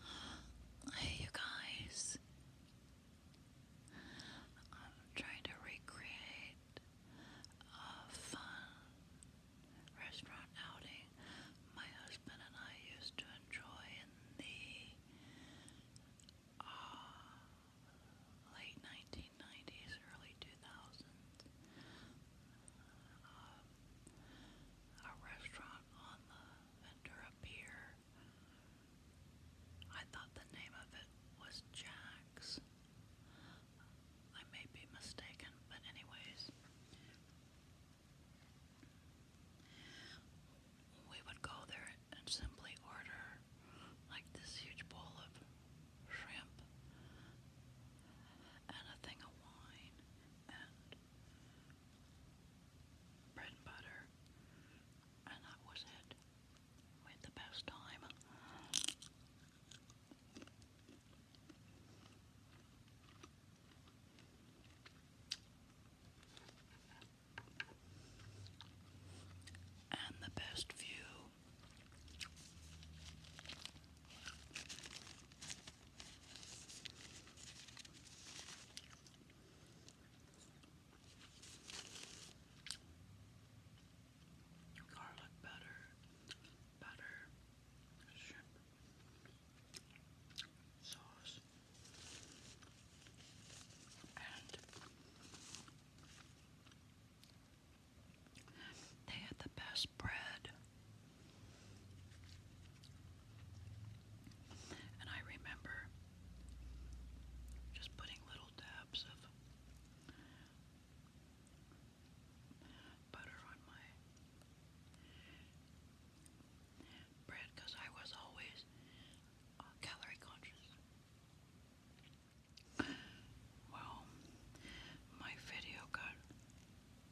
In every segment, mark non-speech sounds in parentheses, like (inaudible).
(sighs) Hey, you guys. I'm trying to recreate a fun restaurant outing my husband and I used to enjoy in the uh, late 1990s, early 2000s a restaurant on the Ventura Pier. I thought the name of it was Jack's. I may be mistaken, but anyways, we would go there and simply order like this huge bowl of shrimp and a thing of wine and bread and butter, and that was it. We had the best time. And the best view Garlic butter, butter, shrimp, sauce, and they had the best bread. And I remember just putting little dabs of butter on my bread because I was always uh, calorie conscious. Well, my video got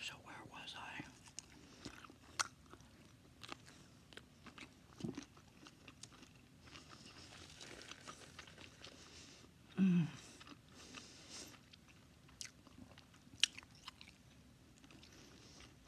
So, where was I? Mm.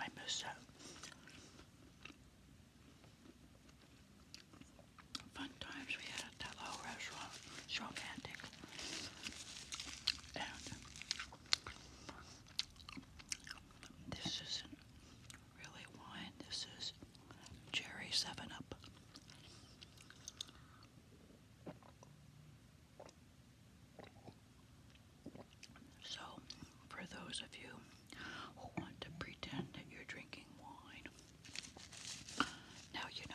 I miss Fun times we had at that restaurant. romantic. And this isn't really wine. This is cherry 7-Up. So, for those of you who want to pretend that you're drinking wine, now you know.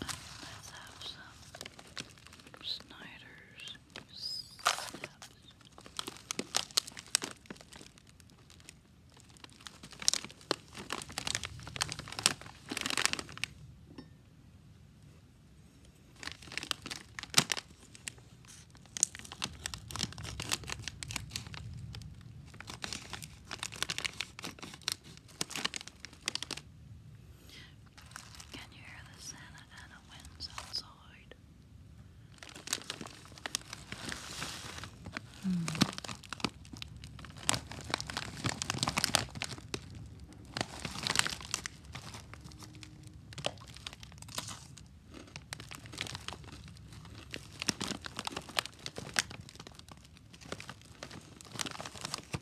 Let's have some Snyder's can you hear the Santa Ana winds outside? Hmm.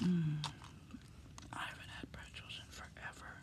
Mm. I haven't had pretzels in forever.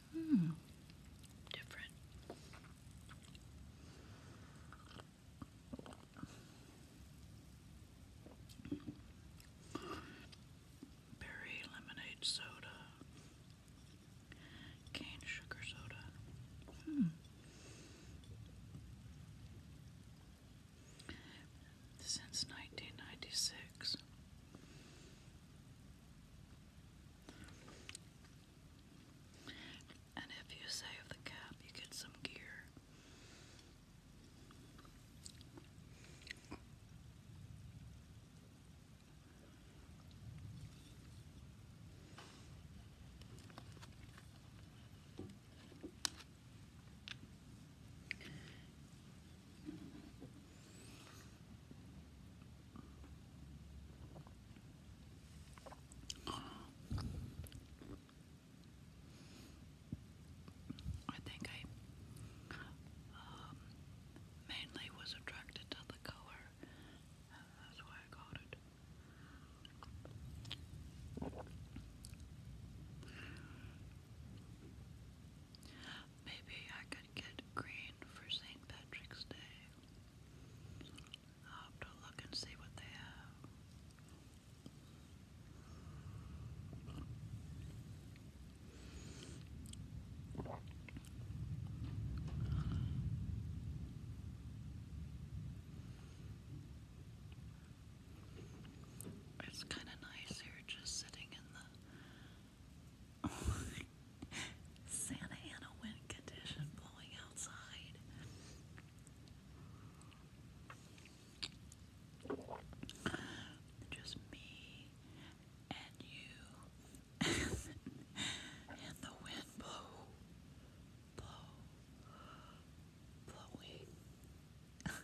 Hmm. Different. Berry lemonade soda. Cane sugar soda. Hmm. Since nineteen ninety six. And if you save the cap, you get some gear. I think I um, mainly was attracted to the color. That's why I got it. Maybe I get green for St. Patrick's Day. I'll have to look and see what they have. It's kind of nice here just sitting in the Santa Ana wind condition blowing outside. Just me and you (laughs) and the wind blow, blow, blowing. (laughs)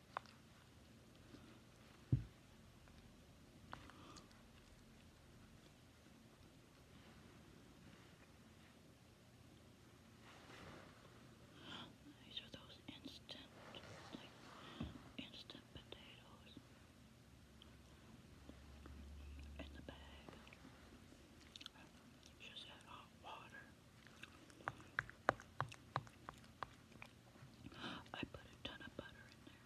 These are those instant, like instant potatoes in the bag. Just add hot water. I put a ton of butter in there.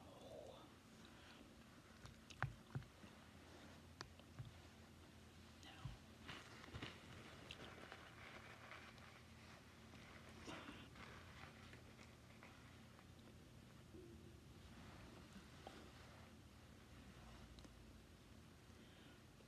Oh.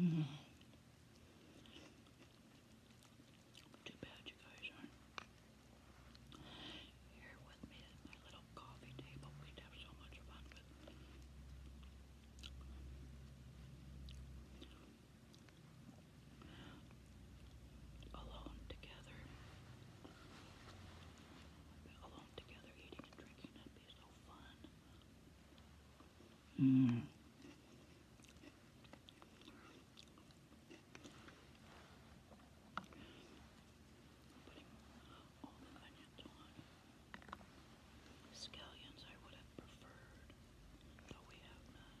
Mm. Too bad you guys aren't here with me at my little coffee table. We'd have so much fun with it. Alone together. Alone together, eating and drinking, that'd be so fun. Mm. Putting Scallions I would have preferred, but we have none.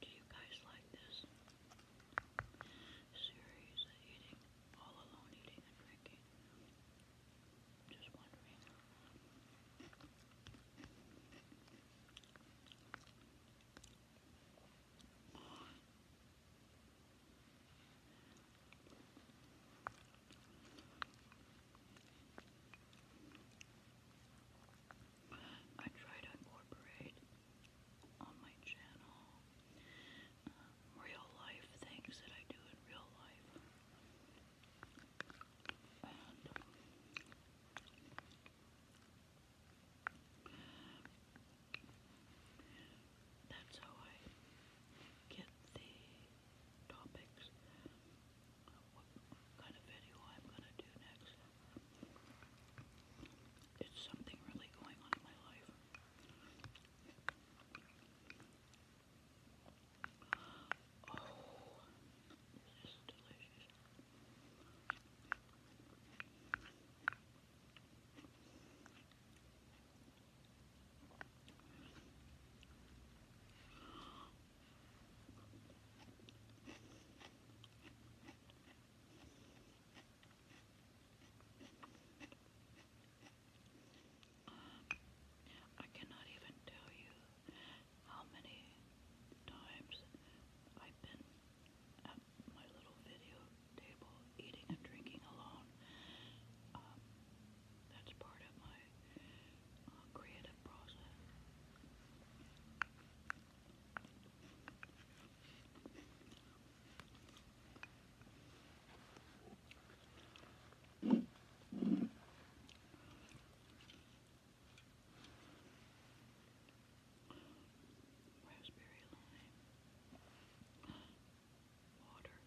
Do you guys like this series eating, all alone eating and drinking? Just wondering. I try to incorporate on my channel um, real life things that I do in real life. And that's how I get the topics what kind of video I'm going to do next. It's something really going on in my life. Oh, this is delicious. Um, I cannot even tell you how many times I've been at my little video table eating and drinking alone. Um, that's part of my uh, creative process. Raspberry lime, water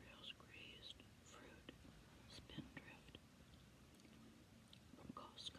rails grazed fruit, spindrift from Costco.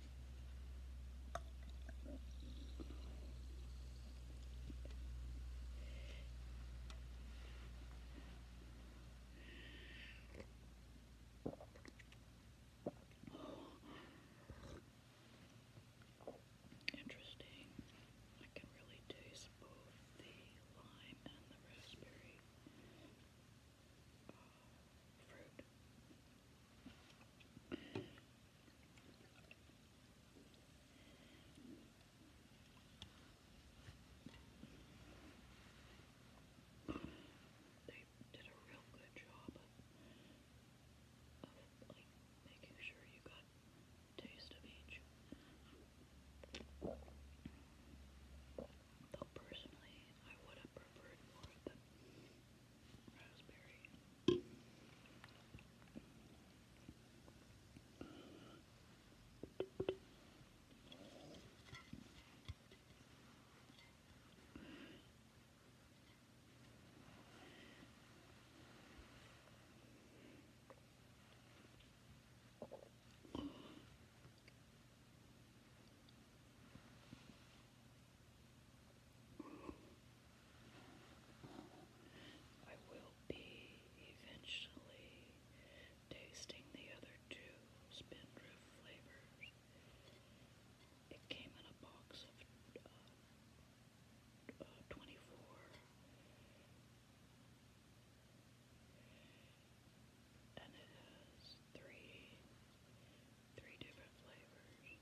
Interesting. I can really taste both the lime and the raspberry uh, fruit. They did a real good job of, like making sure you got taste of each. Though personally, I would have preferred more of the Raspberry. I will be eventually tasting the other two Spindrift flavors. It came in a box of uh, uh, 24. And it has three Three different flavors.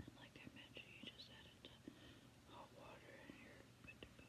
And like I mentioned, you just add hot water and you're good to go.